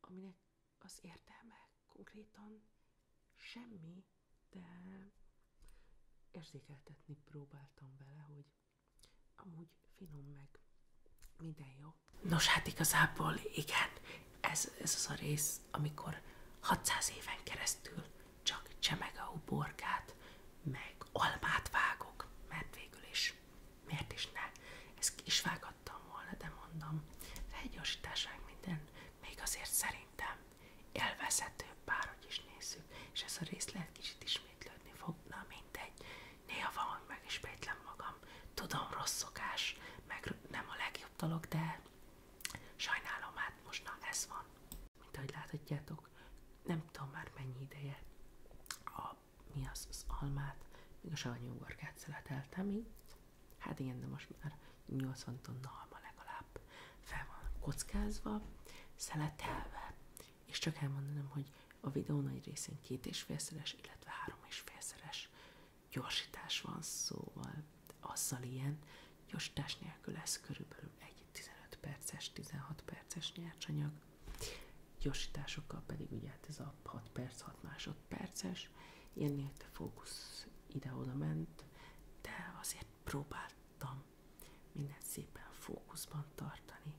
aminek az értelme konkrétan semmi, de érzékeltetni próbáltam vele, hogy amúgy finom meg minden jó. Nos, hát igazából igen, ez, ez az a rész, amikor 600 éven keresztül csak csemege uborkát, meg almát vágok, mert végül is miért is ne? Ez is vágattam volna, de mondom, felgyorsításság minden, még azért szerintem élvezhető, bárhogy is néző, és ez a rész részlet kicsit ismétlődni fog, na mindegy. Néha van, hogy meg ismétlem magam. Tudom, rossz szokás, meg nem a legjobb dolog, de sajnálom, hát most na ez van. Mint ahogy láthatjátok, nem tudom már mennyi ideje a, mi az, az almát, még a savanyú ugorkát szeleteltem így. Hát igen, de most már 80 tonna alma legalább fel van kockázva, szeletelve, és csak elmondanom, hogy a videó nagy részén két és félszeres, illetve három és félszeres gyorsítás van szóval, azzal ilyen, Gyosítás nélkül lesz körülbelül egy 15 perces, 16 perces nyercsanyag. Gyorsításokkal pedig ugye hát ez a 6 perc, 6 másodperces. Ilyen a fókusz ide-oda ment, de azért próbáltam minden szépen fókuszban tartani,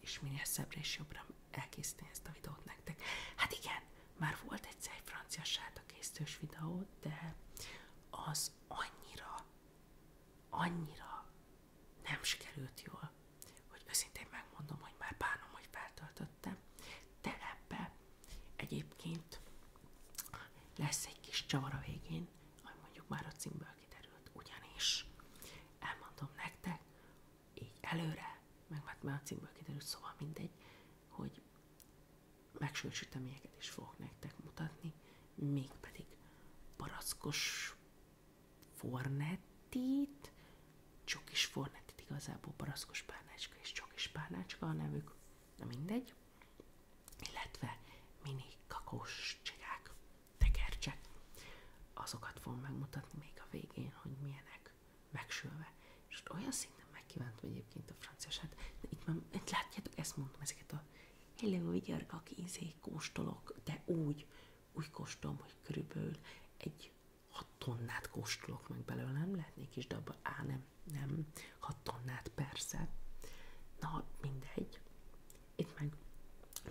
és minél szebbre és jobbra elkészíteni ezt a videót nektek. Hát igen, már volt egyszer egy francia sárta készítős videó, de az annyira annyira nem sikerült jól, hogy őszintén megmondom, hogy már bánom, hogy feltöltöttem, de ebbe egyébként lesz egy kis csavar a végén, ami mondjuk már a címből kiderült, ugyanis elmondom nektek így előre, meg már a címből kiderült, szóval mindegy, hogy megsült süteményeket és fogok nektek mutatni, mégpedig barackos fornettit, csokis fornettit, igazából barackos párnácska és csokis párnácska a nevük, na mindegy, illetve mini kakós csigák, tekercsek. Azokat fogom megmutatni még a végén, hogy milyenek megsülve. És ott olyan szinten megkívántam egyébként a franciását, de itt már, itt látjátok, ezt mondom, ezeket a hello, vigyarga, kézé, kóstolok, de úgy, úgy kóstolom, hogy körülbelül egy hat tonnát kóstolok meg belőle, nem lehetnék is, de abban, á, nem, nem, hat tonnát persze, na mindegy, itt meg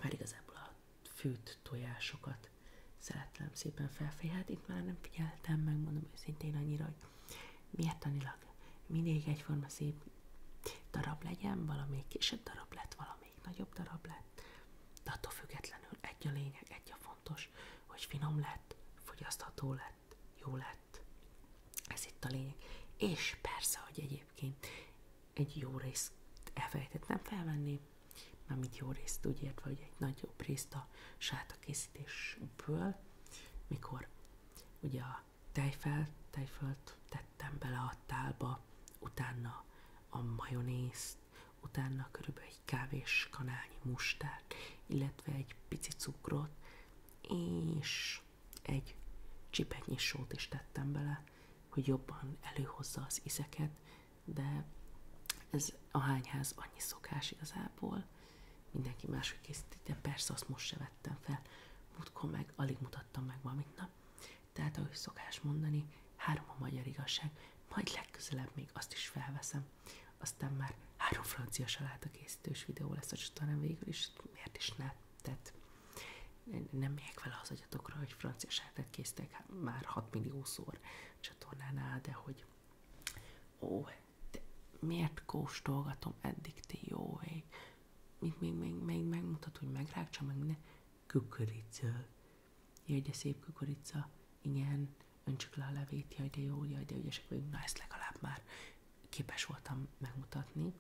már igazából a fűt tojásokat hát szeretlem szépen felfelé, hát itt már nem figyeltem, megmondom őszintén annyira, hogy miért tanilag? mindig egyforma szép darab legyen, valamelyik kisebb darab lett, valamelyik nagyobb darab lett, de attól függetlenül egy a lényeg, egy a fontos, hogy finom lett, fogyasztható lett, jó lett, ez itt a lényeg. És persze, hogy egyébként egy jó részt elfelejtettem felvenni, mármint jó részt úgy értve, hogy egy nagyobb részt a sátakészítésből, mikor ugye a tejfel, tejfölt tettem bele a tálba, utána a majonézt, utána körülbelül egy kávés kanálnyi mustát, illetve egy pici cukrot, és egy csipetnyi sót is tettem bele, hogy jobban előhozza az ízeket, de ez a hányház annyi szokás igazából. Mindenki máshogy készítette, persze azt most se vettem fel. Múltkor meg alig mutattam meg valamit, na. Tehát ahogy szokás mondani, három a magyar igazság, majd legközelebb még azt is felveszem. Aztán már három francia saláta készítős videó lesz a csatornán végül is, miért is ne? Tehát nem megyek vele az agyatokra, hogy francia sártát késztek hát már 6 milliószor csatornánál, de hogy ó, de miért kóstolgatom eddig ti jó ég? Még, még, még, még megmutat, hogy megrákcsa, meg ne. Kukorica. Jaj, de szép kukorica. Igen, öntsük le a levét, jaj, de jó, jaj, de ügyesek vagyunk. Na, ezt legalább már képes voltam megmutatni.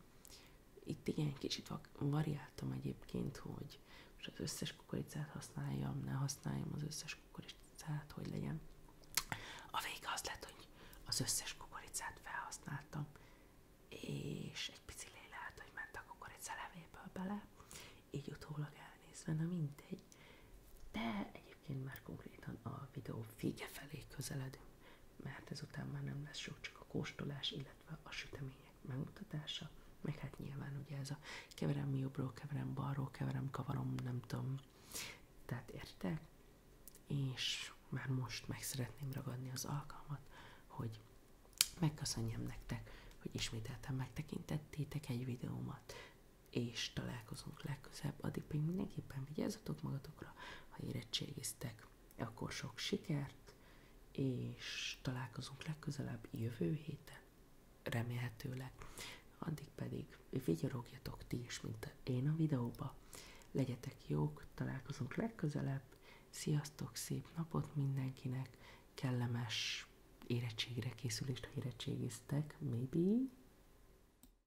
Itt igen, kicsit variáltam egyébként, hogy most az összes kukoricát használjam, ne használjam az összes kukoricát, hogy legyen. A vége az lett, hogy az összes kukoricát felhasználtam, és egy pici lehet, hogy ment a kukorica levéből bele, így utólag elnézve, na mindegy. De egyébként már konkrétan a videó vége felé közeledünk, mert hát ezután már nem lesz sok, csak a kóstolás, illetve a sütemények megmutatása, meg hát nyilván ugye ez a keverem jobbról, keverem balról, keverem kavarom, nem tudom, tehát értek, és már most meg szeretném ragadni az alkalmat, hogy megköszönjem nektek, hogy ismételten megtekintettétek egy videómat, és találkozunk legközelebb, addig pedig mindenképpen vigyázzatok magatokra, ha érettségiztek, akkor sok sikert, és találkozunk legközelebb jövő héten, remélhetőleg. Addig pedig vigyorogjatok ti is, mint én a videóba. Legyetek jók, találkozunk legközelebb. Sziasztok, szép napot mindenkinek, kellemes érettségre készülést, ha érettségiztek, maybe.